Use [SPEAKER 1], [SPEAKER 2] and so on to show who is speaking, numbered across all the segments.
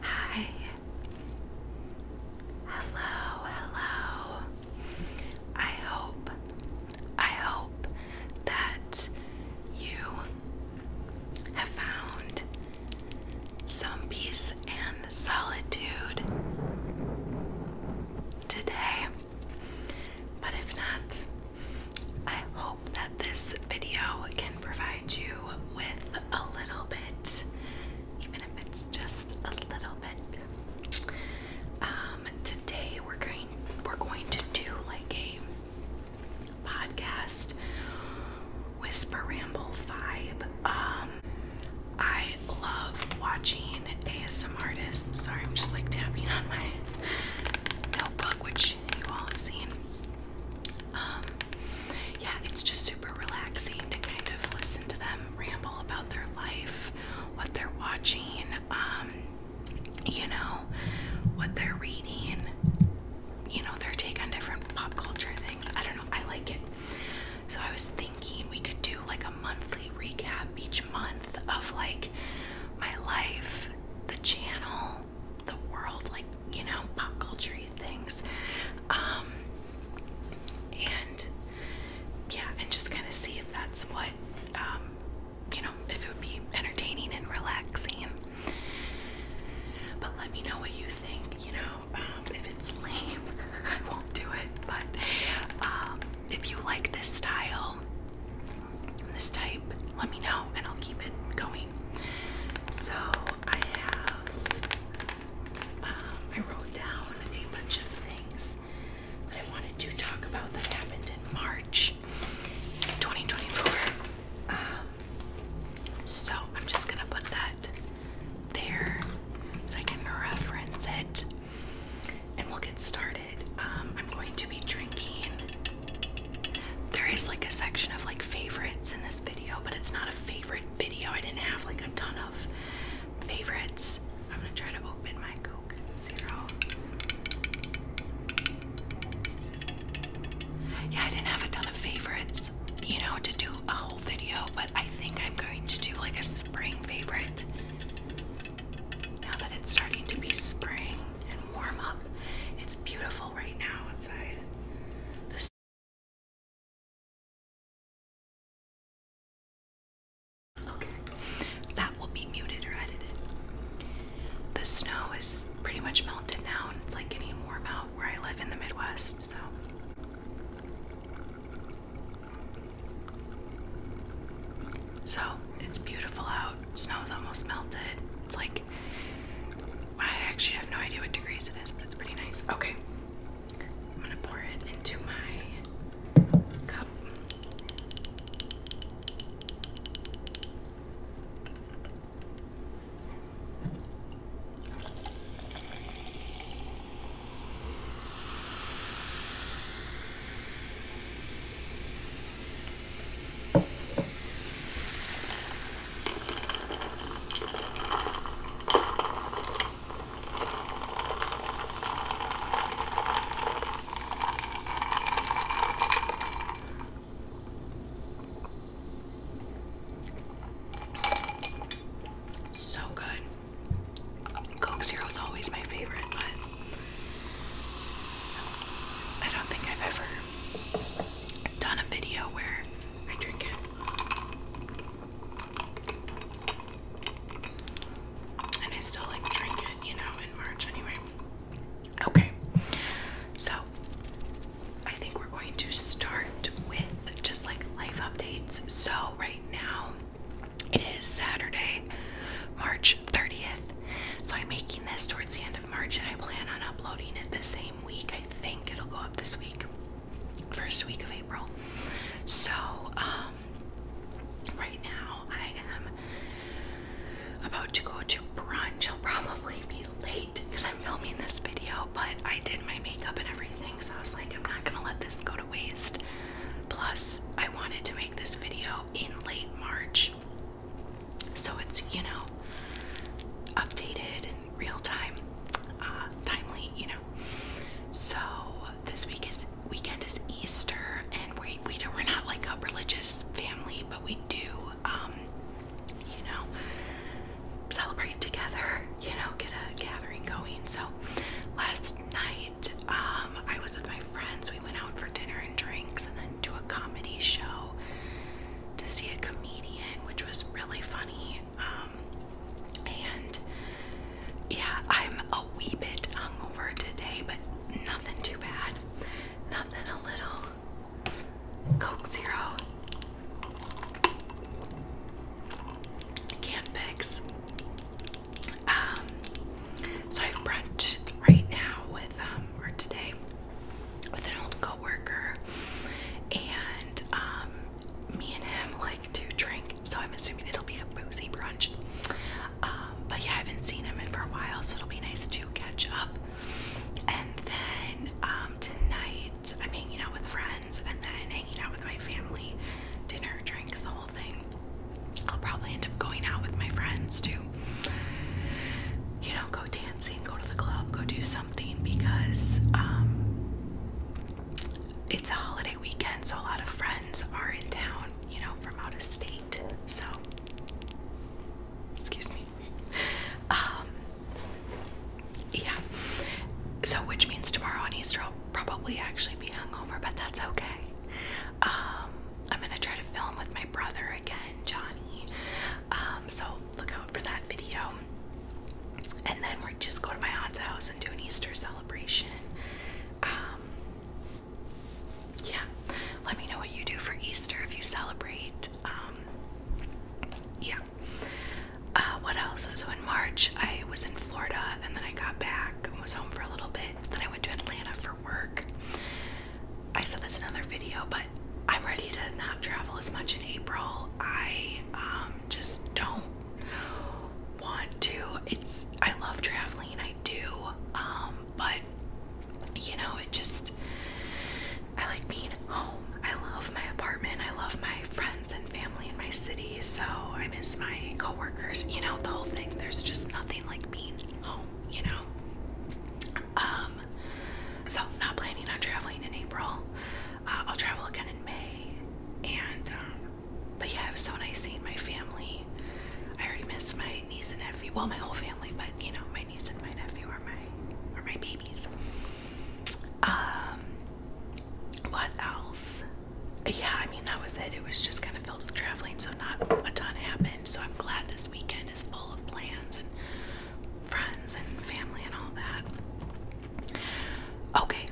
[SPEAKER 1] Hi. Hello, hello. I hope, I hope that you have found some peace and solitude today. But if not, I that this video can provide you with a little bit, even if it's just a little bit. Um, today we're going we're going to do like a podcast whisper ramble five. Um, I love watching ASM artists. Sorry, I'm just like tapping on my notebook, which you all have seen. Um, yeah, it's just super relaxing to kind of listen to them ramble about their life, what they're watching, um, you know, what they're reading, you know, their take on different pop culture things. I don't know, I like it. So I was thinking we could do like a monthly recap each month of like my life, the channel, the world, like you know, pop culture things. Um, and yeah, and just kind of see if that's what, um, you know, if it would be entertaining and relaxing. But let me know what you think, you know, um, if it's lame, I won't do it. But if you like this style, this type, let me know and I'll keep it going. So I have, um, I wrote down a bunch of things that I wanted to talk about that happened in March 2024. Um, so I'm just gonna put that there so I can reference it and we'll get started. Um, I'm going to be drinking there is like a section of like favorites in this video, but it's not a favorite video. I didn't have like a ton of favorites. I'm gonna try to open my Coke Zero. Yeah, I didn't have a ton of favorites, you know, to do a whole video, but I think I'm going to do like a spring favorite. Now that it's starting to be spring warm up. It's beautiful right now outside. The Okay, that will be muted or edited. The snow is pretty much melted now, and it's like getting warm out where I live in the Midwest, so. So, it's beautiful out. Snow's almost melted. It's like I actually have no idea what degrees it is, but it's pretty nice. Okay. I'm gonna pour it into my cup. So good. Coke Zero is always my favorite, but I don't think I've ever done a video where I drink it. And I still like drink it, you know, in March anyway. Okay, so I think we're going to start with just like life updates. So, right now it is Saturday, March 30th. So, I'm making this towards the end of March and I plan on uploading it the same week. I think it'll go up this week, first week of April. So, um, right now I am about to go to brunch. I'll probably be late because I'm filming this video, but I did my makeup and everything, so I was like, I'm not gonna let this go to waste. Plus, I wanted to make this video in late March so it's you know updated and real time, uh, timely, you know. So this week is weekend is Easter, and we we don't we're not like a religious family, but we do um you know celebrate together, you know, get a gathering going. So last night um I was with my friends. We went out for dinner and drinks, and then Island to a comedy show to see a comedian, which was really funny. Um, and yeah, I'm a wee bit hungover today, but nothing too bad. Nothing a little Coke Zero. Can't fix. Um, so I've brunch right now with um, or today with an old coworker, and um, me and him like to drink, so I'm assuming it'll be a boozy brunch. Um, but yeah, I haven't seen him in for a while, so it'll be nice to catch up. And then um, tonight, I'm hanging out with friends, and then hanging out with my family, dinner, drinks, the whole thing. I'll probably end up going out with my friends to, you know, go dance dancing, go to the club, go do something because um, it's a holiday weekend, so a lot of friends are in town, you know, from out of state. So, excuse me. Um, yeah. So, which means tomorrow on Easter I'll probably actually be hungover, but that's okay. Um, I'm gonna try to film with my brother again, Johnny. Um, so look out for that video. And then we're just go to my aunt's house and do an Easter celebration. Um, yeah, let me know what you do for Easter if you celebrate. Um, yeah. Uh, what else? So in March, I was in Florida, and then I got back and was home for a little bit. Then I went to Atlanta for work. I said this another video, but I'm ready to not travel as much in April. I um, just don't want to. It's I love traveling, I do, um, but you know, it just I like being home. I love my apartment. I love my friends and family in my city. So I miss my coworkers. You know, the whole thing. There's just nothing like being home. You know. Um, so not planning on traveling in April. Uh, I'll travel again in May, and um, but yeah, it was so nice seeing my family. I already missed my niece and nephew. Well, my whole family, but you know, my niece and my nephew are my are my babies. Um, what else? Yeah, I mean that was it. It was just kind of filled with traveling, so not a ton happened. So I'm glad this weekend is full of plans and friends and family and all that. Okay,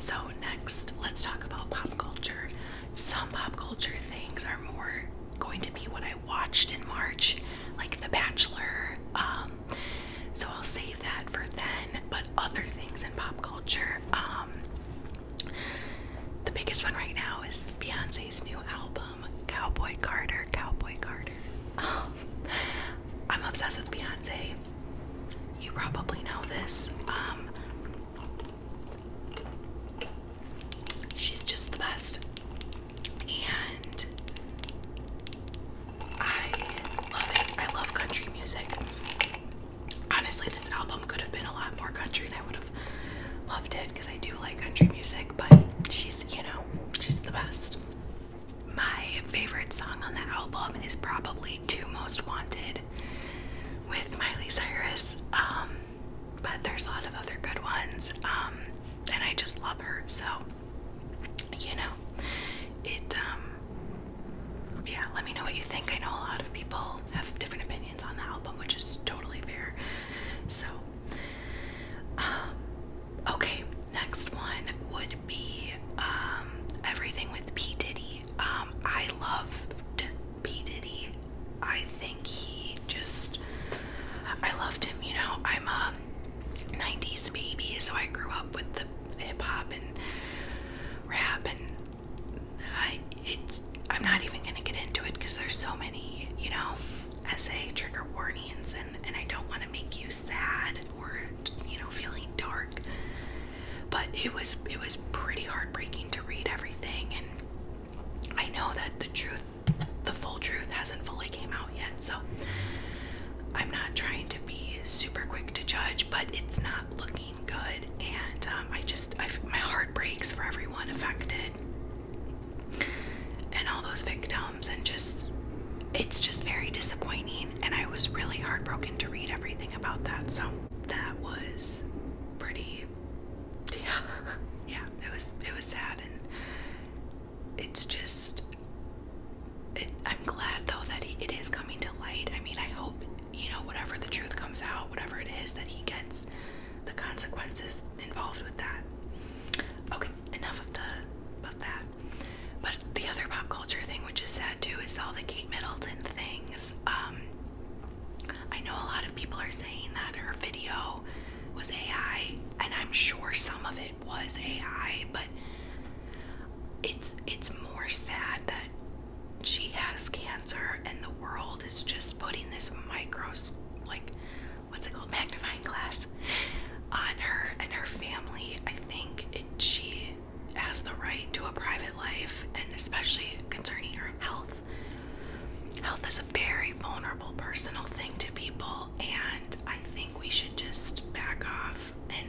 [SPEAKER 1] so next let's talk about pop culture. Some pop culture things are more going to be what I watched in March, like The Bachelor. Um, so I'll save that for then, but other things in pop culture. Um, the biggest one right now is Beyonce's new album. Um, Cowboy Carter, Cowboy Carter. Um, I'm obsessed with Beyonce. You probably know this. Um, she's just the best. And I love it. I love country music. Honestly, this album could have been a lot more country and I would have loved it because I do like country music, but she's, you know, wow, she's the best. My favorite song on the album is probably Two Most Wanted with Miley Cyrus. Um, but there's a lot of other good ones. Um, and I just love her, so you know, it um, yeah, let me know what you think. I know a lot of people have different opinions on the album, which is totally fair. So Okay, next one would be um, everything with P. Diddy. Um, I loved P. Diddy. I think he just, I loved him, you know. I'm a 90s baby, so I grew up with the hip hop and rap, and I, it, I'm not even gonna get into it because there's so many, you know essay trigger warnings and and I don't want to make you sad or you know feeling dark but it was it was pretty heartbreaking to read everything and I know that the truth the full truth hasn't fully came out yet so I'm not trying to be super quick to judge but it's not looking good and um, I just I, my heart breaks for everyone affected and all those victims and just it's just very disappointing and I was really heartbroken to read everything about that. So that was pretty yeah. Yeah, it was it was sad and it's just it, I'm glad though that it is coming to light. I mean, I hope you know whatever the truth comes out, whatever it is that he gets, the consequences involved with that. Okay, enough of the of that. But the other pop culture thing, which is sad too, is all the Kate Middleton things. Um, I know a lot of people are saying that her video was AI, and I'm sure some of it was AI, but it's it's more sad that she has cancer and the world is just putting this micro like what's it called magnifying glass on her and her family. I think it, she has the right to a private life, and especially concerning her health. Health is a very vulnerable, personal thing to people, and I think we should just back off. And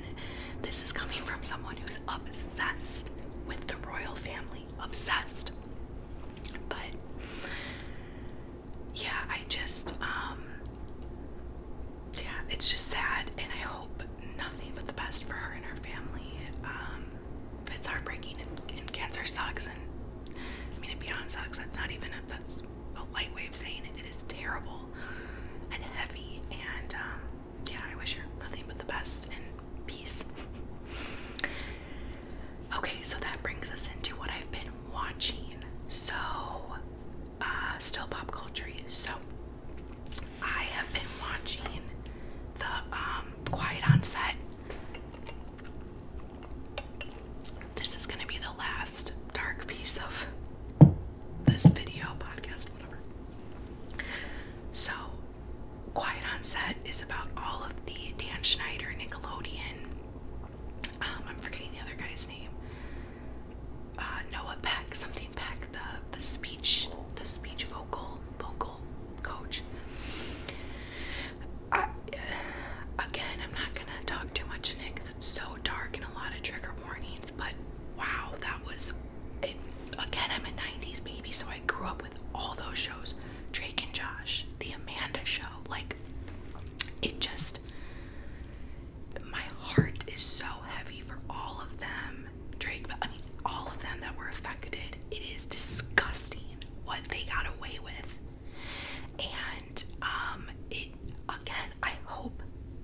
[SPEAKER 1] this is coming from someone who's obsessed with the royal family, obsessed. But yeah, I just, um, yeah, it's just sad, and I hope nothing but the best for her and her family. Um, it's heartbreaking, and, cancer sucks, and I mean, it beyond sucks. That's not even a, that's a light way of saying It is terrible and heavy, and um, yeah, I wish her nothing but the best and peace. Okay, so that brings us into what I've been watching. So, uh, still pop culture. So, I have been watching the um, Quiet on Set. This is going to be the last dark piece of this video, podcast, whatever. So, Quiet on Set is about all of the Dan Schneider, Nickelodeon um, I'm forgetting the other guy's name. Uh, Noah Peck, something Peck, the the speech, the speech vocal vocal coach. Uh, again, I'm not gonna talk too much in it it's so dark and a lot of trigger warnings. But wow, that was. It, again, I'm a '90s baby, so I grew up with all those shows: Drake and Josh, The Amanda Show, like it just my heart is so heavy for all of them. Drake, but I mean all of them that were affected. It is disgusting what they got away with. And um it again, I hope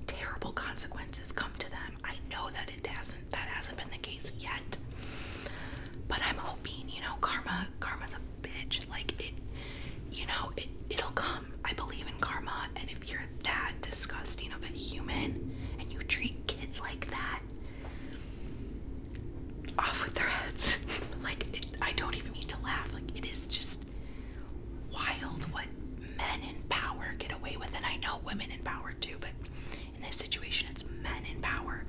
[SPEAKER 1] terrible consequences come to them. I know that it hasn't that hasn't been the case yet. But I'm hoping, you know, karma karma's a bitch. Like it, you know, it it'll come. I believe in karma, and if you're that disgusting of a human and you treat kids like that, off with their heads. like it, I don't even mean to laugh. Like it is just wild what men in power get away with, and I know women in power too, but in this situation, it's men in power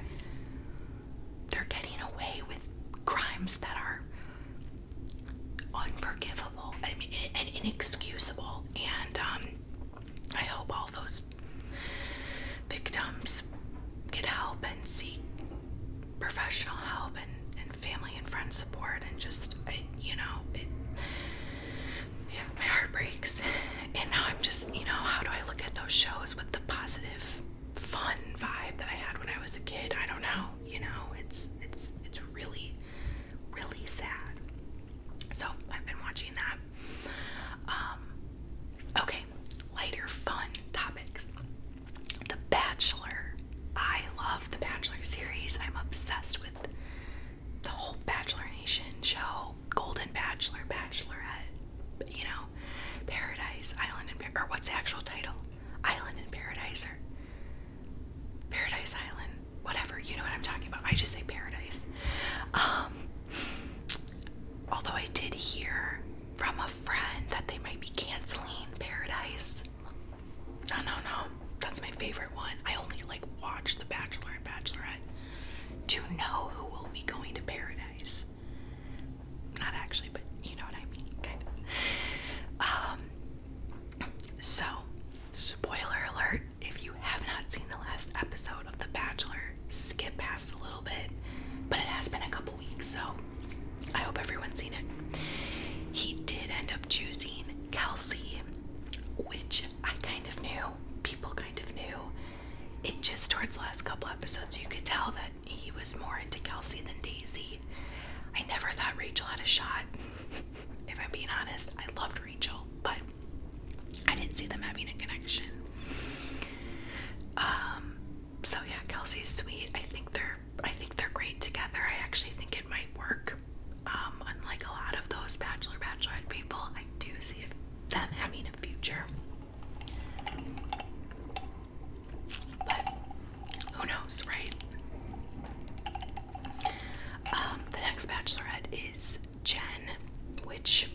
[SPEAKER 1] they're getting away with crimes that are unforgivable and inexcusable. And um, I hope all those victims get help and seek professional help and, and family and friends support. And just, you know, yeah, my heart breaks. And now I'm just, you know, how do I look at those shows with the positive fun vibe that I had when I was a kid. I don't know, you know, it's it's it's really really sad. So I've been watching that. Um, okay, lighter fun topics. The Bachelor. I love the Bachelor series. I'm obsessed with the whole Bachelor Nation show, Golden Bachelor, Bachelorette, you know, Paradise Island, or what's the actual title? Island in Paradise or Paradise Island, whatever. You know what I'm talking about. I just say Paradise. Um, although I did hear from a friend that they might be canceling Paradise. No, no, no. That's my favorite one. I only like watch The Bachelor and Bachelorette to know who will be going to Paradise. Not actually, but you know what I mean, kind Um, so, spoiler alert if you have not seen the last episode of The Bachelor, skip past a little bit, but it has been a couple weeks, so I hope everyone's seen it. He did end up choosing Kelsey, which I kind of knew, people kind of knew. It just towards the last couple episodes, you could tell that he was more into Kelsey than Daisy. I never thought Rachel had a shot. if I'm being honest, I loved Rachel, but I didn't see them having a connection. Um, so yeah, Kelsey's sweet. I think they're I think they're great together. I actually think it might work. Um, unlike a lot of those bachelor Bachelor bachelorette people, I do see them having a future. But who knows, right? Um, the next bachelorette is Jen, which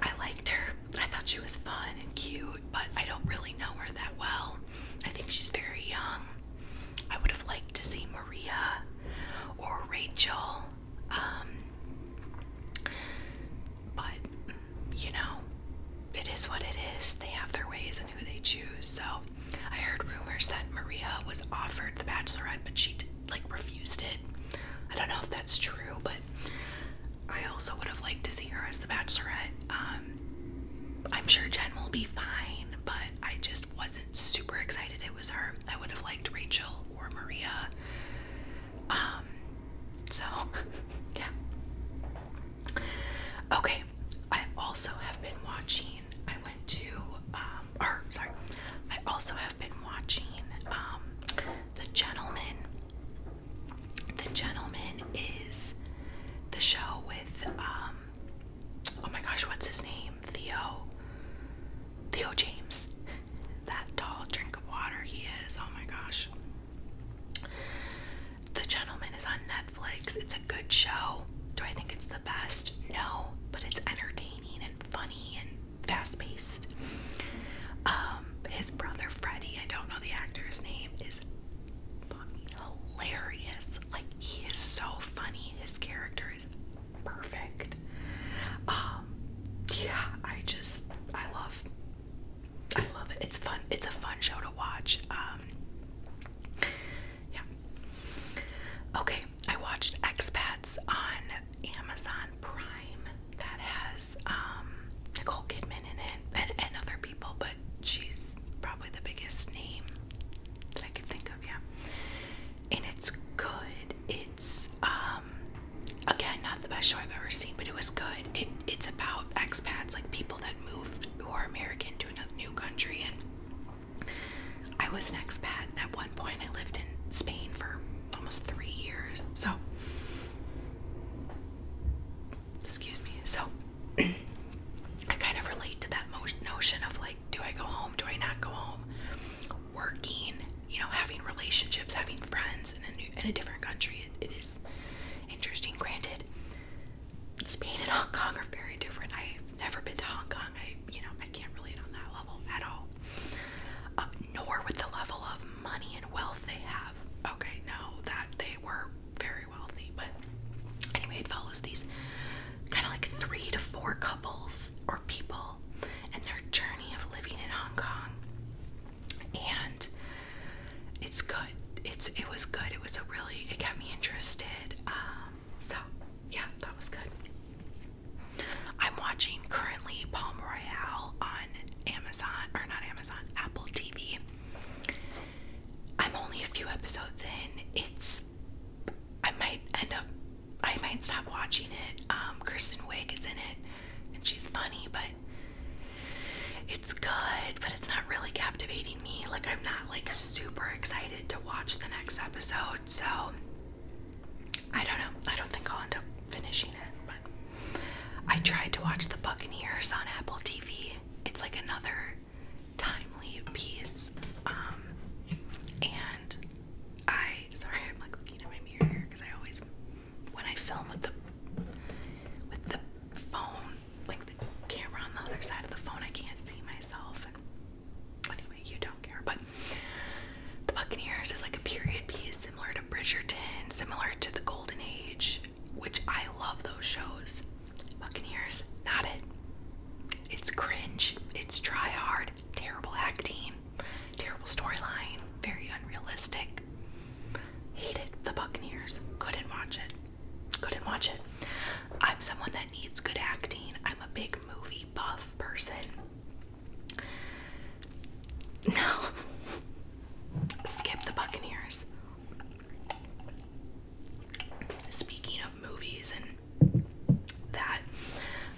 [SPEAKER 1] I liked her. I thought she was fun and cute, but I don't really know her that well. I think she's very young. I would have liked to see Maria or Rachel. Um, but, you know, it is what it is. They have their ways and who they choose. So, I heard rumors that Maria was offered the bachelorette, but she, like, refused it. I don't know if that's true, but I also would have liked to see her as the bachelorette. Um, I'm sure Jen will be fine, but I just wasn't super excited it was her. I would have liked Rachel or Maria. Um, so, yeah. Okay, I also have been watching, I went to, um, or sorry, I also have been watching um, The Gentleman. The Gentleman is the show with, um, oh my gosh, what's his name? Theo. Theo James. That tall drink of water he is. Oh my gosh. The Gentleman is on Netflix. It's a good show. Do I think it's the best? No, but it's entertaining and funny and fast paced. Um, his brother Freddie, I don't know the actor's name, is hilarious. Like, he is so funny. His character is perfect. Um, yeah, I just, I love I love it. It's fun. It's a fun show to watch. Um, yeah. Okay, I watched Expats on Amazon Prime. That has um, Nicole Kidman in it and, other people, but she's probably the biggest name that I could think of. Yeah, and it's good. It's um, again, not the best show I've ever seen, but it was good. It it's about expats, like people that moved who are American to a new country. And I was an expat at one point. I lived in Spain for almost three years. So, excuse me. So, I kind of relate to that mo notion of like, do I go home? Do I not go home? Working you know, having relationships, having friends in a new in a different country, it is interesting. Granted, Spain and Hong Kong are very different. I've never been to Hong Kong. I, you know, I can't relate on that level at all. nor with the level of money and wealth they have. Okay, no, that they were very wealthy, but anyway, it follows these kind of like three to four couples or people and their journey of living in Hong Kong and it's good. It's it was good. It was a really it kept me interested. Um, so yeah, that was good. I'm watching currently Palm Royale on Amazon or not Amazon, Apple TV. I'm only a few episodes in. It's I might end up I might stop watching it. Um, Kristen Wiig is in it and she's funny, but it's good, but it's not really captivating me. Like, I'm not like super excited to watch the next episode, so I don't know. I don't think I'll end up finishing it, but I tried to watch The Buccaneers on Apple TV. It's like another timely piece. Um, and I sorry, I'm like looking at my mirror here because I always when I film with the with the phone, like the camera on the other side of the phone, I can't see myself. anyway, you don't care. But The Buccaneers is like a period piece similar to Bridgerton, similar to the Golden Age, which I love those shows. Buccaneers, not it. It's cringe, it's try hard, terrible acting, Terrible storyline, very unrealistic. Hated the Buccaneers. Couldn't watch it. Couldn't watch it. I'm someone that needs good acting. I'm a big movie buff person. No. Skip the Buccaneers. Speaking of movies and that,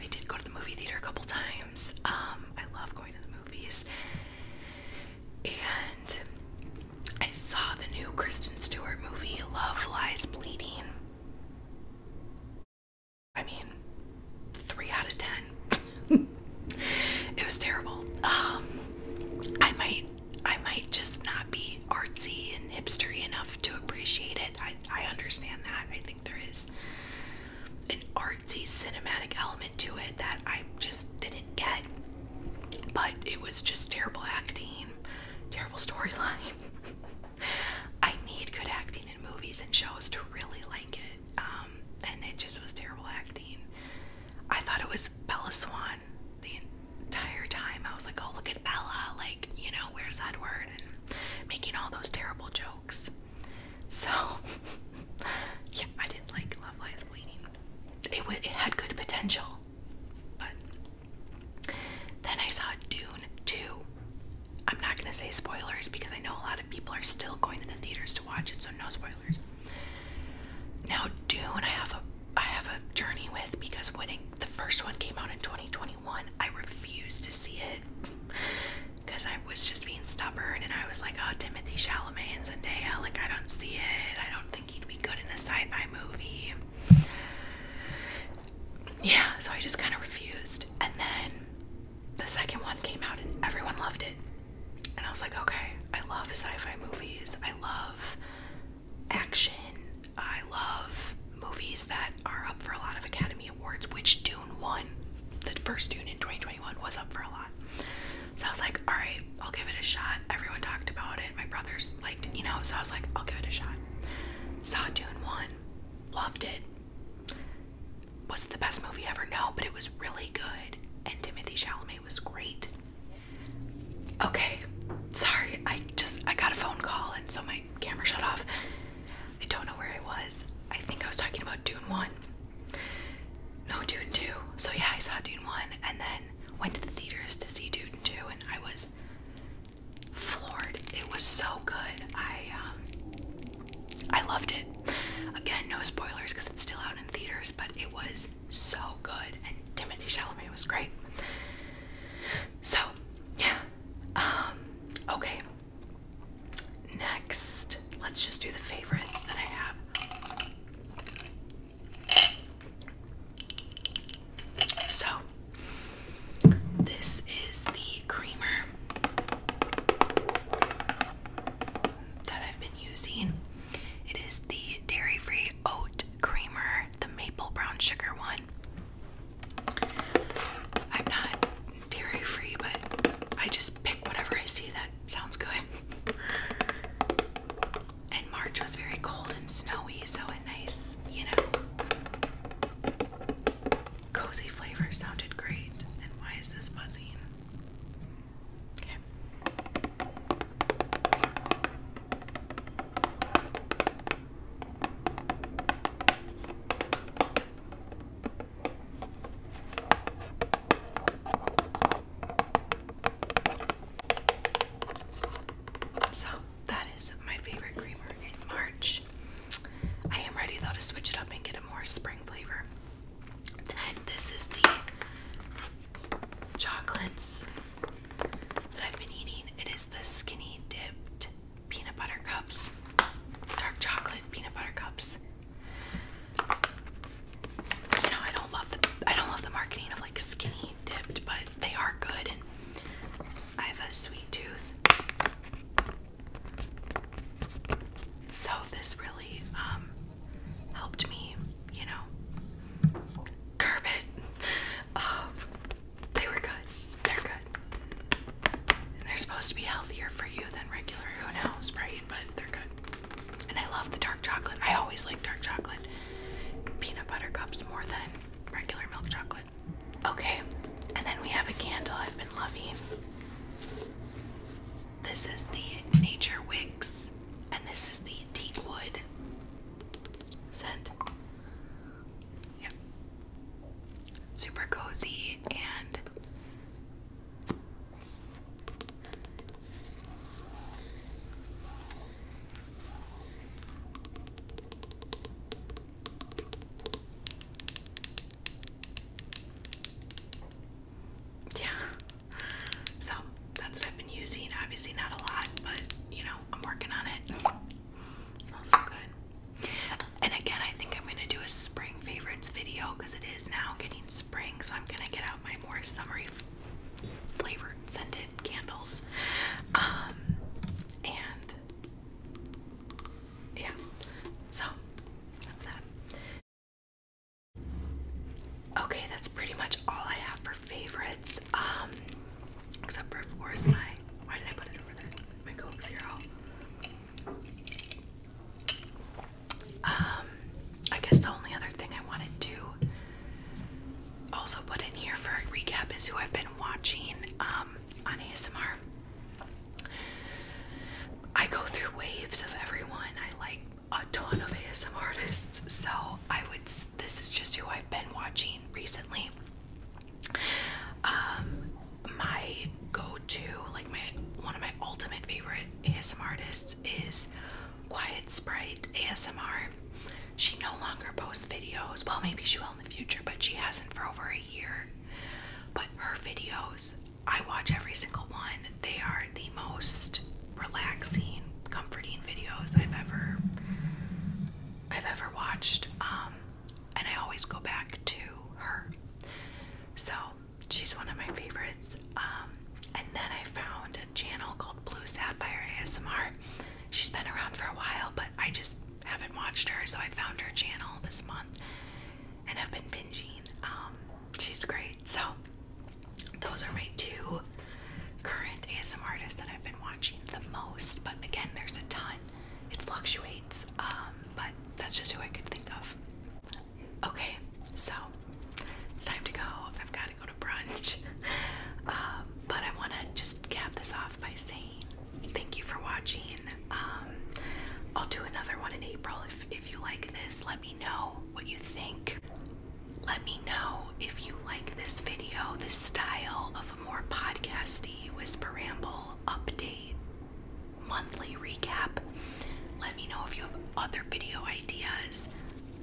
[SPEAKER 1] I did go to the movie theater a couple times. Um, I love going to the movies. And I saw the new Kristen Stewart movie, Love Lies Bleeding. I mean, three out of ten. it was terrible. Um, I might, I might just not be artsy and hipstery enough to appreciate it. I, I understand that. I think there is an art cinematic element to it that I just didn't get. But it was just terrible acting, terrible storyline. I need good acting in movies and shows to really like it. Um, and it just was terrible acting. I thought it was Bella Swan the entire time. I was like, oh, look at Bella, like, you know, where's Edward? And making all those terrible jokes. So, yeah, I didn't like Love Lies Bleeding. It, had good potential, but then I saw Dune too. I'm not gonna say spoilers because I know a lot of people are still going to the theaters to watch it, so no spoilers. Now, Dune, I have a I have a journey with because when the first one came out in 2021, I refused to see it because I was just being stubborn and I was like, oh, Timothy Chalamet and Zendaya, like, I don't see it. I don't think he'd be good in a sci fi movie. Yeah, so I just kind of refused. And then the second one came out and everyone loved it. And I was like, okay, I love sci fi movies. I love action. I love movies that are up for a lot of Academy Awards, which Dune won. The first Dune in 2021 was up for a lot so I was like, all right, I'll give it a shot. Everyone talked about it. My brothers liked you know, so I was like, I'll give it a shot. Saw Dune 1, loved it. Was it the best movie ever? No, but it was really good. And Timothy Chalamet was great. Okay, sorry, I just, I got a phone call and so my camera shut off. I don't know where I was. I think I was talking about Dune 1. No, Dune 2. So yeah, I saw Dune 1 and then went to the theaters to see Dune 2 and I was floored. It was so good. I um, I loved it. Again, no spoilers because it's still out in theaters, but it was so good and Timothy Chalamet was great. So, yeah. Um, okay, Next, let's just do the favorites that I have. So, this is the creamer that I've been using. It is the dairy free oat creamer, the maple brown sugar one. I'm not dairy free, but I just pick whatever I see that sounds good. and March was very cold and snowy, so a nice, you know, cozy flavor sounded great. And why is this buzzing? So that is my favorite creamer in March. I am ready though to switch it up and get a more spring flavor. Then this is the chocolates that I've been eating. It is the skinny dipped peanut butter cups, dark chocolate peanut butter cups. You know, I don't love the I don't love the marketing of like skinny dipped, but they are good and I have a sweet tooth. So this really um, helped me, you know, curb it. Um, they were good. They're good. And they're supposed to be healthier for you than regular. Who knows, right? But they're good. And I love the dark chocolate. I always like dark chocolate. Peanut butter cups more than regular milk chocolate. Okay, and then we have a candle I've been loving. This is the Nature Wicks, and this is the Teakwood scent. Yep. Super cozy and yeah. So that's what I've been using. Obviously, not a lot, but you know, I'm working on it. smells so good. And again, I think I'm going to do a spring favorites video because it is now getting spring, so I'm gonna get out my more summery flavored scented candles. Um, and yeah, so Okay, that's pretty much all I have for favorites. Um, except for of course my why did I put it over there? My Coke um, I guess the only other thing I want to do, also put in here for a recap is who I've been watching um, on ASMR. I go through waves of everyone. I like a ton of ASMR artists, so I would. This is just who I've been watching recently. Um, my go-to, like my one of my ultimate favorite ASMR artists is Quiet Sprite ASMR. She no longer posts videos. Well, maybe she will in the future, but she hasn't for over a year. But her videos, I watch every single one. They are the most relaxing, comforting videos I've ever I've ever watched. Um, and I always go back to her. So she's one of my favorites. Um, and then I found a channel called Blue Sapphire ASMR. She's been around for a while, but I just haven't watched her, so I found her channel this month and I've been binging. Um, she's great. So, those are my two current ASMR artists that I've been watching the most, but again, there's a ton. It fluctuates, um, but that's just who I could think of. Okay, so it's time to go. I've got to go to brunch. Um, but I want to just cap this off by saying thank you for watching. Um, I'll do another one in April if, if you like this. Let me know what you think. Let me know if you like this video, this style of a more podcasty whisper ramble update monthly recap. Let me know if you have other video ideas.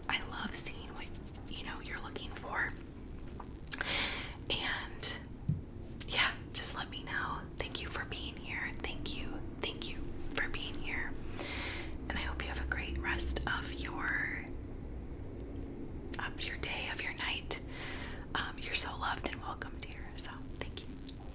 [SPEAKER 1] I love seeing what you know you're looking for. And yeah, just let me know. Thank you for being here. Thank you. Thank you for being here. And I hope you have a great rest of your of your day, of your night. Um, you're so loved and welcome, dear. So thank you.